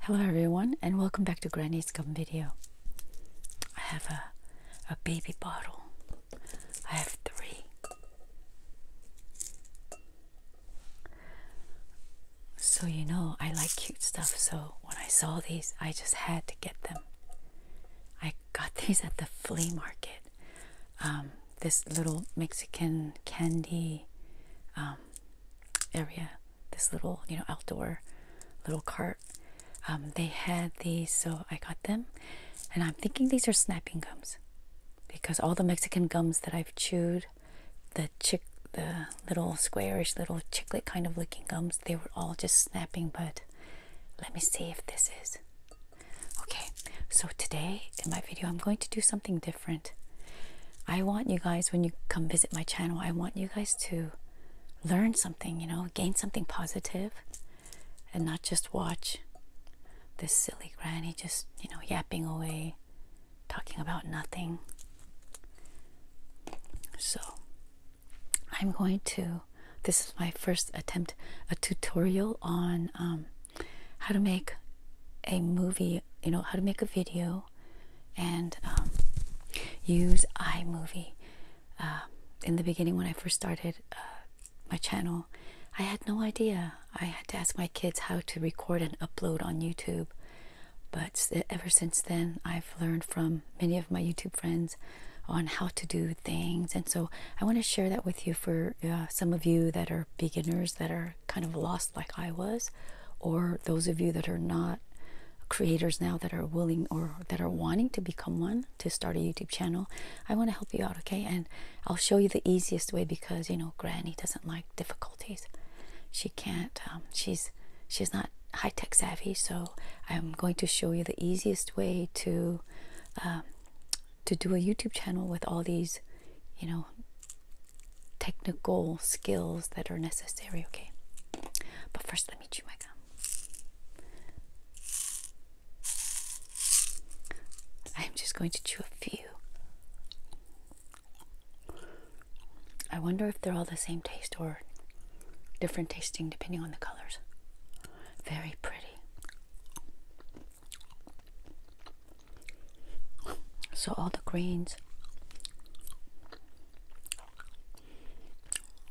Hello everyone and welcome back to Granny's Gum video. I have a, a baby bottle. I have three. So you know I like cute stuff so when I saw these I just had to get them. I got these at the flea market. Um, this little Mexican candy um, area, this little, you know, outdoor little cart. Um, they had these, so I got them. And I'm thinking these are snapping gums because all the Mexican gums that I've chewed, the chick, the little squarish, little chiclet kind of looking gums, they were all just snapping. But let me see if this is. Okay, so today in my video, I'm going to do something different. I want you guys, when you come visit my channel, I want you guys to learn something, you know, gain something positive and not just watch this silly granny just, you know, yapping away, talking about nothing. So, I'm going to, this is my first attempt, a tutorial on um, how to make a movie, you know, how to make a video and um, use iMovie. Uh, in the beginning, when I first started uh, my channel, I had no idea. I had to ask my kids how to record and upload on YouTube. But ever since then, I've learned from many of my YouTube friends on how to do things. And so I want to share that with you for uh, some of you that are beginners, that are kind of lost like I was, or those of you that are not creators now that are willing or that are wanting to become one to start a YouTube channel, I want to help you out, okay? And I'll show you the easiest way because you know Granny doesn't like difficulties. She can't. Um, she's she's not high tech savvy, so I'm going to show you the easiest way to um, to do a YouTube channel with all these, you know, technical skills that are necessary, okay? But first, let me chew my gum. I'm just going to chew a few. I wonder if they're all the same taste or different tasting depending on the colors. Very pretty. So all the greens.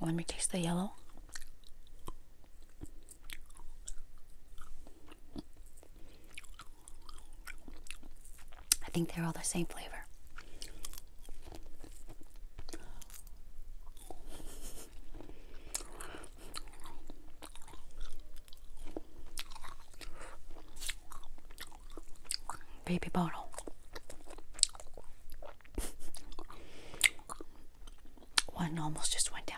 Let me taste the yellow. I think they're all the same flavor baby bottle. One almost just went down.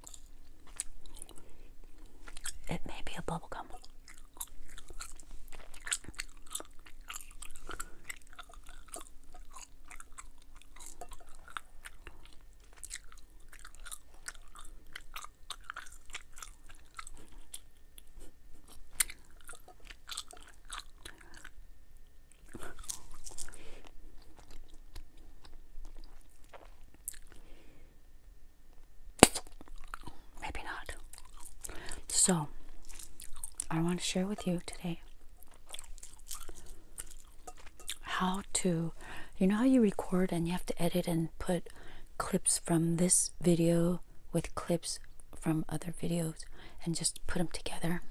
It may be a bubblegum. Maybe not. So, I want to share with you today how to, you know, how you record and you have to edit and put clips from this video with clips from other videos and just put them together.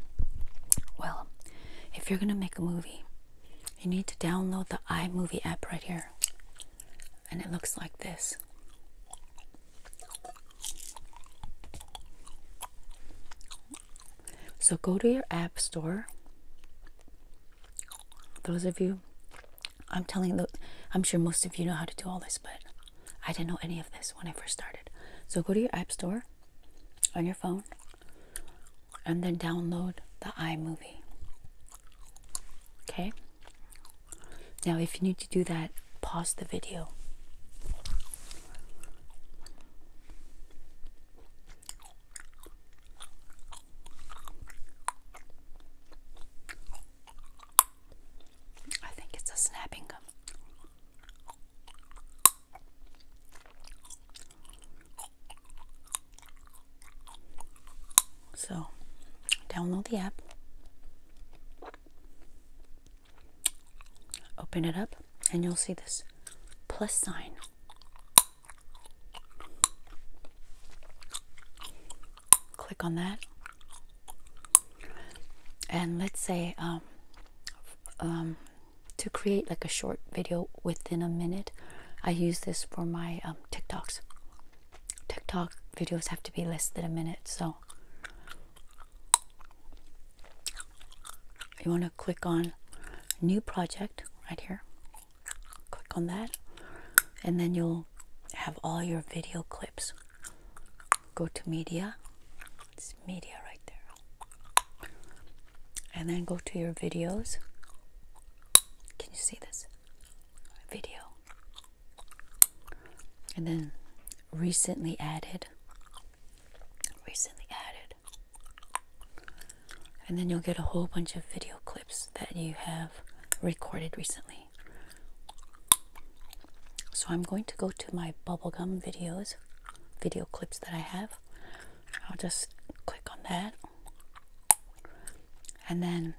Well, if you're going to make a movie, you need to download the iMovie app right here. And it looks like this. So go to your app store. Those of you, I'm telling the, I'm sure most of you know how to do all this, but I didn't know any of this when I first started. So go to your app store on your phone and then download the iMovie. Okay? Now, if you need to do that, pause the video. I think it's a snapping gum. So, download the app, open it up, and you'll see this plus sign. Click on that, and let's say um, um, to create like a short video within a minute. I use this for my um, TikToks. TikTok videos have to be less than a minute, so you want to click on new project right here. Click on that, and then you'll have all your video clips. Go to media, it's media right there, and then go to your videos. Can you see this video? And then recently added, recently added. And then you'll get a whole bunch of video clips that you have recorded recently. So I'm going to go to my bubblegum videos, video clips that I have. I'll just click on that and then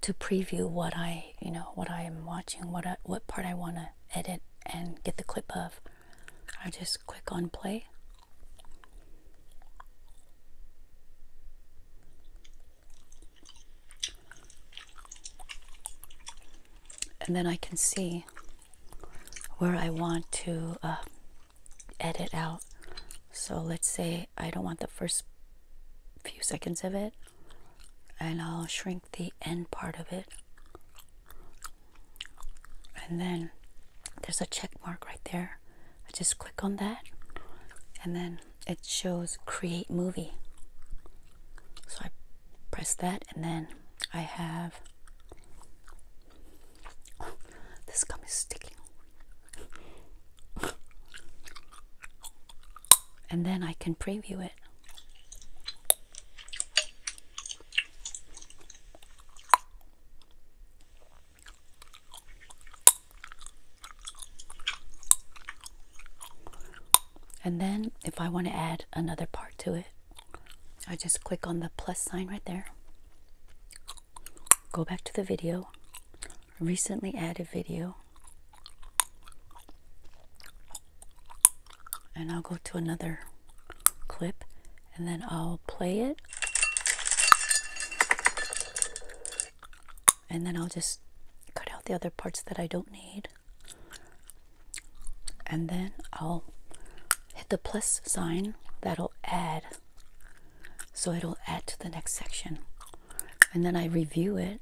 to preview what I, you know, what I am watching, what what part I want to edit and get the clip of, I just click on play. And then I can see where I want to uh, edit out. So let's say I don't want the first few seconds of it, and I'll shrink the end part of it. And then there's a check mark right there. I just click on that, and then it shows create movie. So I press that, and then I have this gum is sticking. And then I can preview it. And then if I want to add another part to it, I just click on the plus sign right there go back to the video, recently added video, and I'll go to another clip and then I'll play it. And then I'll just cut out the other parts that I don't need. And then I'll hit the plus sign that'll add so it'll add to the next section and then I review it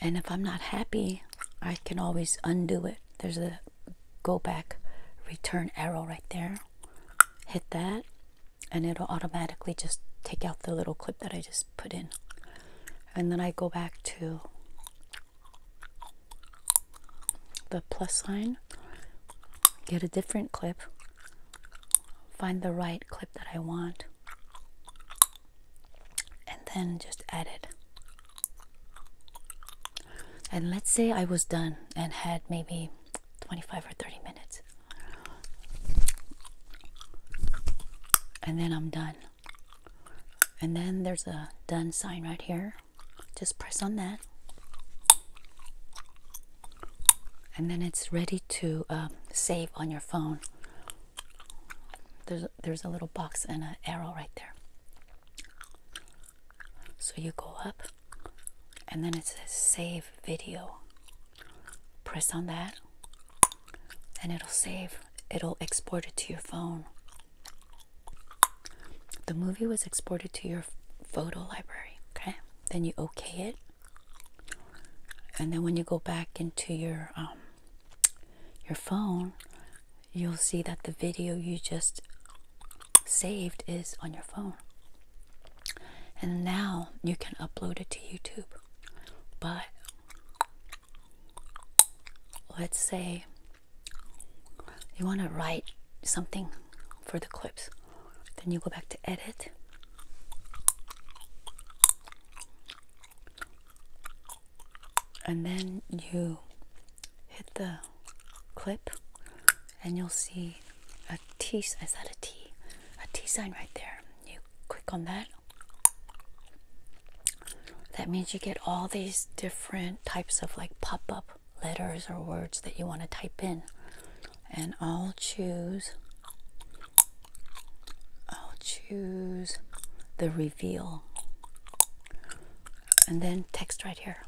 and if I'm not happy I can always undo it there's a go back return arrow right there hit that and it'll automatically just take out the little clip that I just put in. And then I go back to the plus sign, get a different clip, find the right clip that I want, and then just add it. And let's say I was done and had maybe 25 or 30 minutes. And then I'm done and then there's a done sign right here. Just press on that, and then it's ready to um, save on your phone. There's there's a little box and an arrow right there. So you go up, and then it says save video press on that and it'll save it'll export it to your phone the movie was exported to your photo library okay then you okay it and then when you go back into your um, your phone you'll see that the video you just saved is on your phone and now you can upload it to YouTube but let's say you want to write something for the clips then you go back to edit and then you hit the clip and you'll see a T is that a T a T sign right there you click on that that means you get all these different types of like pop up letters or words that you want to type in. And I'll choose, I'll choose the reveal. And then text right here.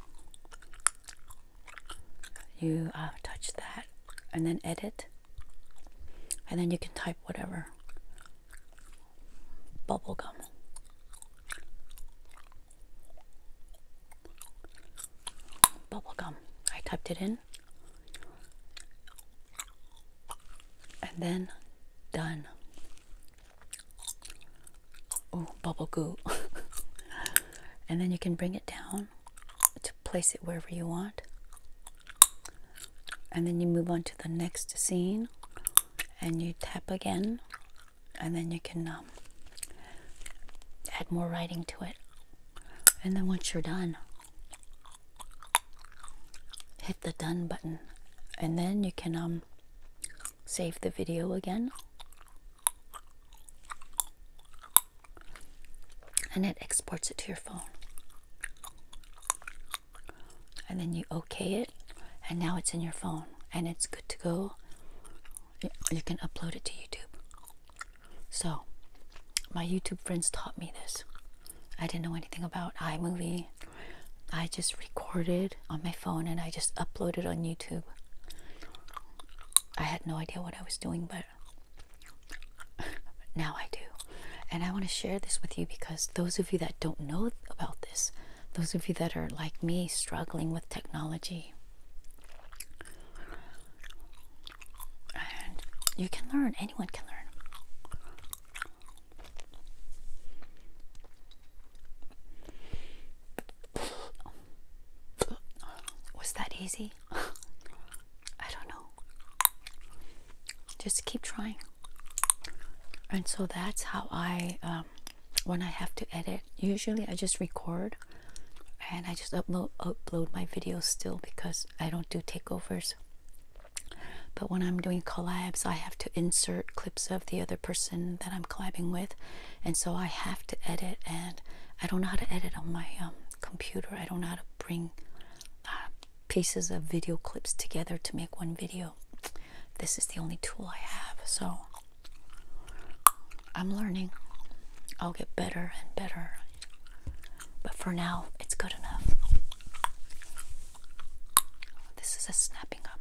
You uh, touch that and then edit and then you can type whatever Bubble gum. Bubble gum. i typed it in and then done oh bubble goo and then you can bring it down to place it wherever you want. And then you move on to the next scene and you tap again, and then you can um, add more writing to it. And then once you're done, hit the done button, and then you can um, save the video again. And it exports it to your phone and then you okay it and now it's in your phone and it's good to go you can upload it to youtube so my youtube friends taught me this i didn't know anything about imovie i just recorded on my phone and i just uploaded on youtube i had no idea what i was doing but now I do. And I want to share this with you because those of you that don't know about this, those of you that are like me struggling with technology, and you can learn, anyone can learn. Was that easy? I don't know. Just keep trying. And so that's how I, um, when I have to edit, usually I just record and I just upload upload my videos still because I don't do takeovers. But when I'm doing collabs, I have to insert clips of the other person that I'm collabing with, and so I have to edit. And I don't know how to edit on my um, computer. I don't know how to bring uh, pieces of video clips together to make one video. This is the only tool I have, so I'm learning. I'll get better and better, but for now, it's good enough. This is a snapping up.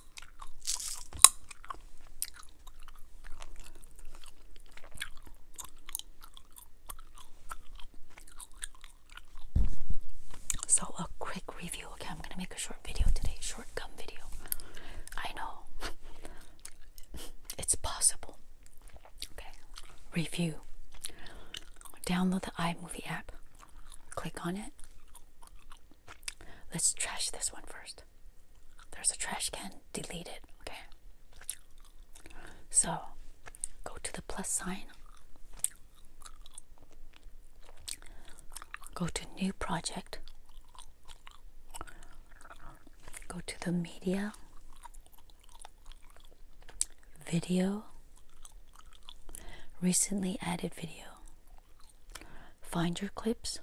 So a quick review. Okay, I'm gonna make a short video today, short gum video. I know it's possible. Okay, review. Download the iMovie app. Click on it. Let's trash this one first. There's a trash can. Delete it. Okay. So go to the plus sign. Go to new project. Go to the media. Video. Recently added video. Find your clips.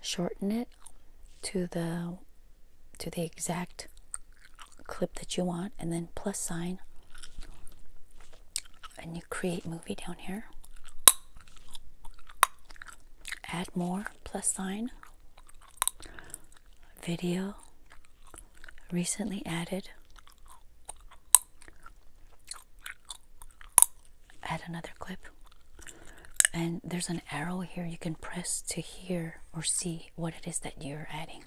Shorten it to the to the exact clip that you want and then plus sign and you create movie down here. Add more plus sign video recently added add another clip and there's an arrow here you can press to hear or see what it is that you're adding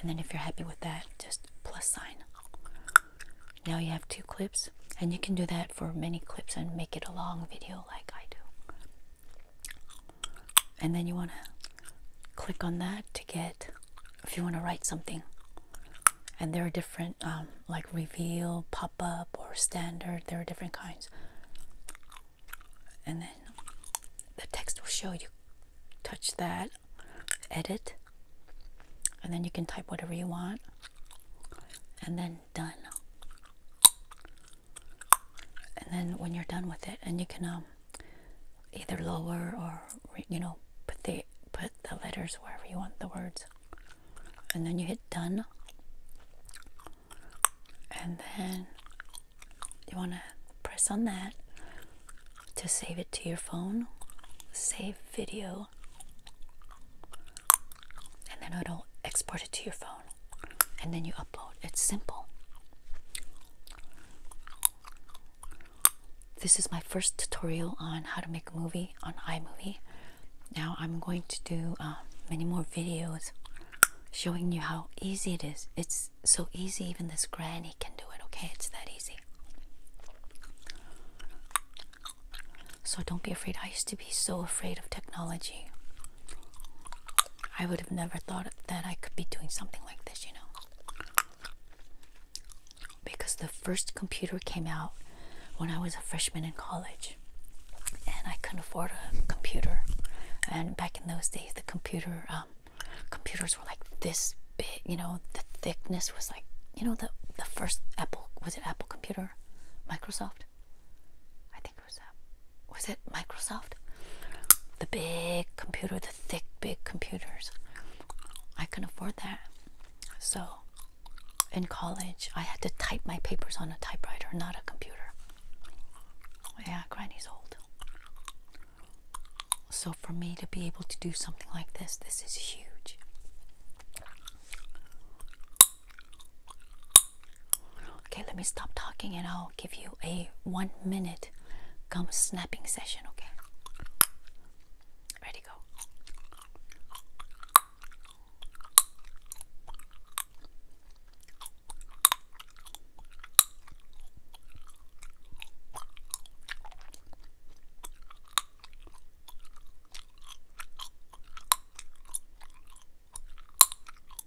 and then if you're happy with that just plus sign now you have two clips and you can do that for many clips and make it a long video like I do and then you want to click on that to get if you want to write something and there are different um, like reveal pop-up or standard there are different kinds and then the text will show you touch that edit and then you can type whatever you want and then done and then when you're done with it and you can um, either lower or you know put the put the letters wherever you want the words and then you hit done and then you want to press on that to save it to your phone save video and then it'll export it to your phone and then you upload it's simple this is my first tutorial on how to make a movie on iMovie. Now I'm going to do uh, many more videos showing you how easy it is. It's so easy, even this granny can do it, okay? It's that easy. So don't be afraid. I used to be so afraid of technology. I would have never thought that I could be doing something like this, you know. Because the first computer came out when I was a freshman in college, and I couldn't afford a computer. And back in those days, the computer um, computers were like this big, you know. The thickness was like, you know, the the first Apple was it Apple computer, Microsoft. I think it was uh, was it Microsoft? The big computer, the thick, big computers. I can afford that. So in college, I had to type my papers on a typewriter, not a computer. Yeah, Granny's old. So for me to be able to do something like this, this is huge. Okay, let me stop talking and I'll give you a one minute Come snapping session, okay? Ready, go.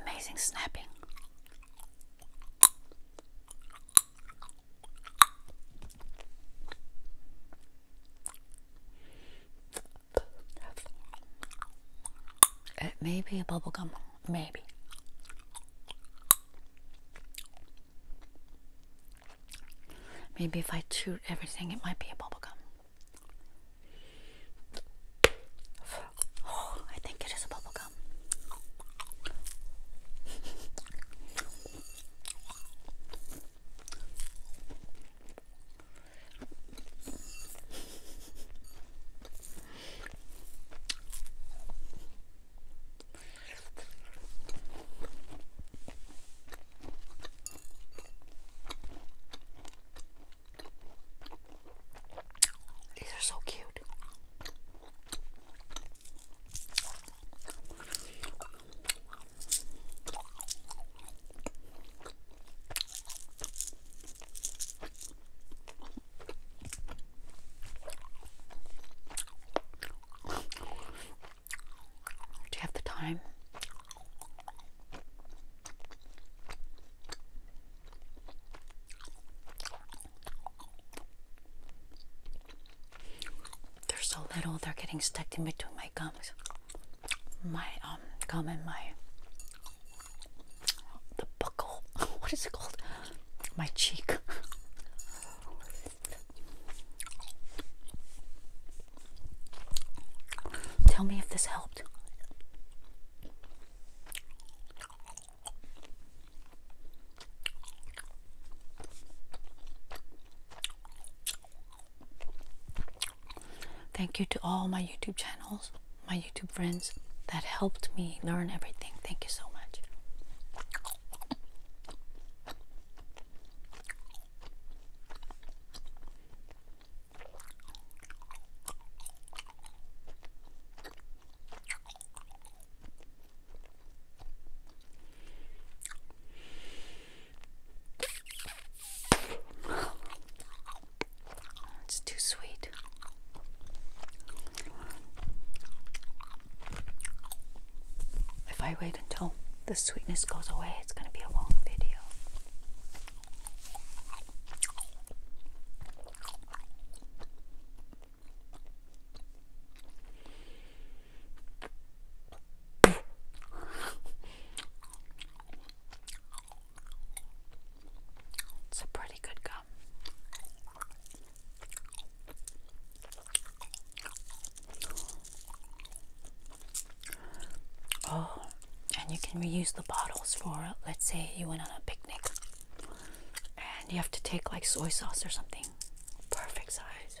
Amazing snapping. It uh, may be a bubble gum. maybe. Maybe if I chew everything, it might be a bubblegum. Oh, I think it is a bubblegum. These are so cute. Do you have the time? They're so little, they're getting stuck in between my gums my um comment. my the buckle what is it called my cheek tell me if this helped Thank you to all my YouTube channels, my YouTube friends that helped me learn everything. Thank you so much. It's too sweet. If I wait until the sweetness goes away, it's going to be a long video. It's a pretty good gum. Oh, and you can reuse the bottles for, let's say, you went on a picnic and you have to take like soy sauce or something. Perfect size.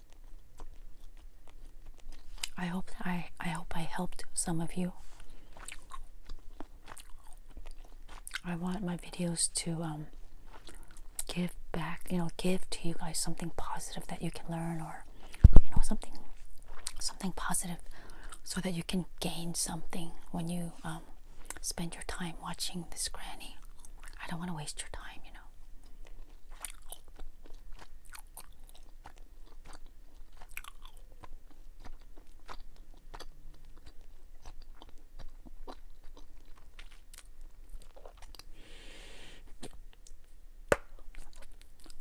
I hope I I hope I helped some of you. I want my videos to um, give back, you know, give to you guys something positive that you can learn, or you know, something something positive, so that you can gain something when you um, spend your time watching this granny. I don't want to waste your time, you know.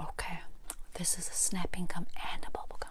Okay, this is a snapping gum and a bubble gum.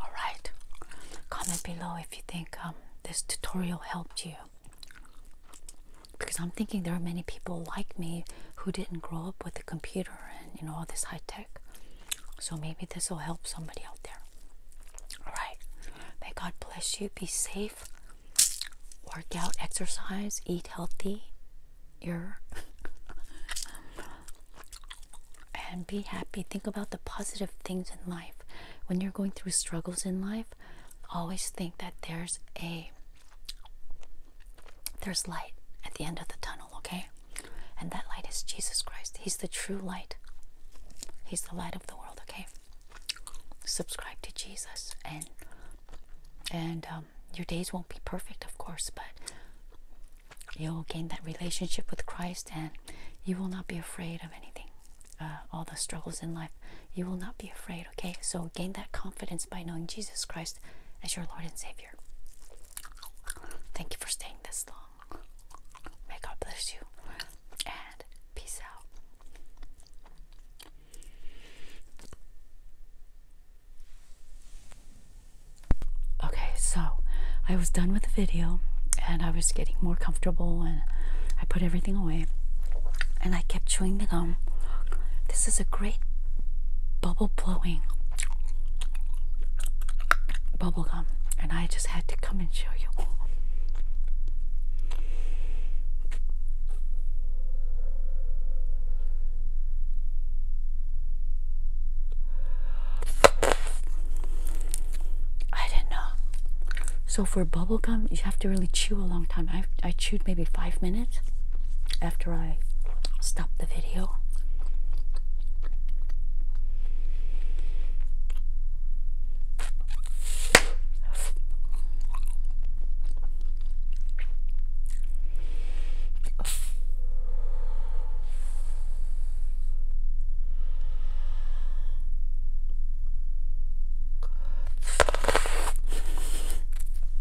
Alright, comment below if you think um, this tutorial helped you. Because I'm thinking there are many people like me who didn't grow up with a computer and you know all this high tech. So maybe this will help somebody out there. Alright, may God bless you. Be safe. Work out, exercise, eat healthy, your and be happy. Think about the positive things in life. When you're going through struggles in life, always think that there's a there's light at the end of the tunnel, okay? And that light is Jesus Christ. He's the true light. He's the light of the world, okay? Subscribe to Jesus and and um, your days won't be perfect, of course, but you will gain that relationship with Christ and you will not be afraid of anything. Uh, all the struggles in life, you will not be afraid, okay? So gain that confidence by knowing Jesus Christ as your Lord and Savior. Thank you for staying this long. May God bless you and peace out. Okay, so I was done with the video and I was getting more comfortable and I put everything away and I kept chewing the gum. This is a great bubble blowing bubble gum and I just had to come and show you. I didn't know. So for bubblegum, you have to really chew a long time. I I chewed maybe five minutes after I stopped the video.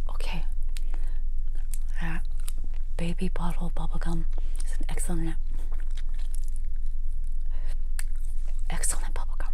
Okay. That baby bottle bubble gum is an excellent excellent bubblegum.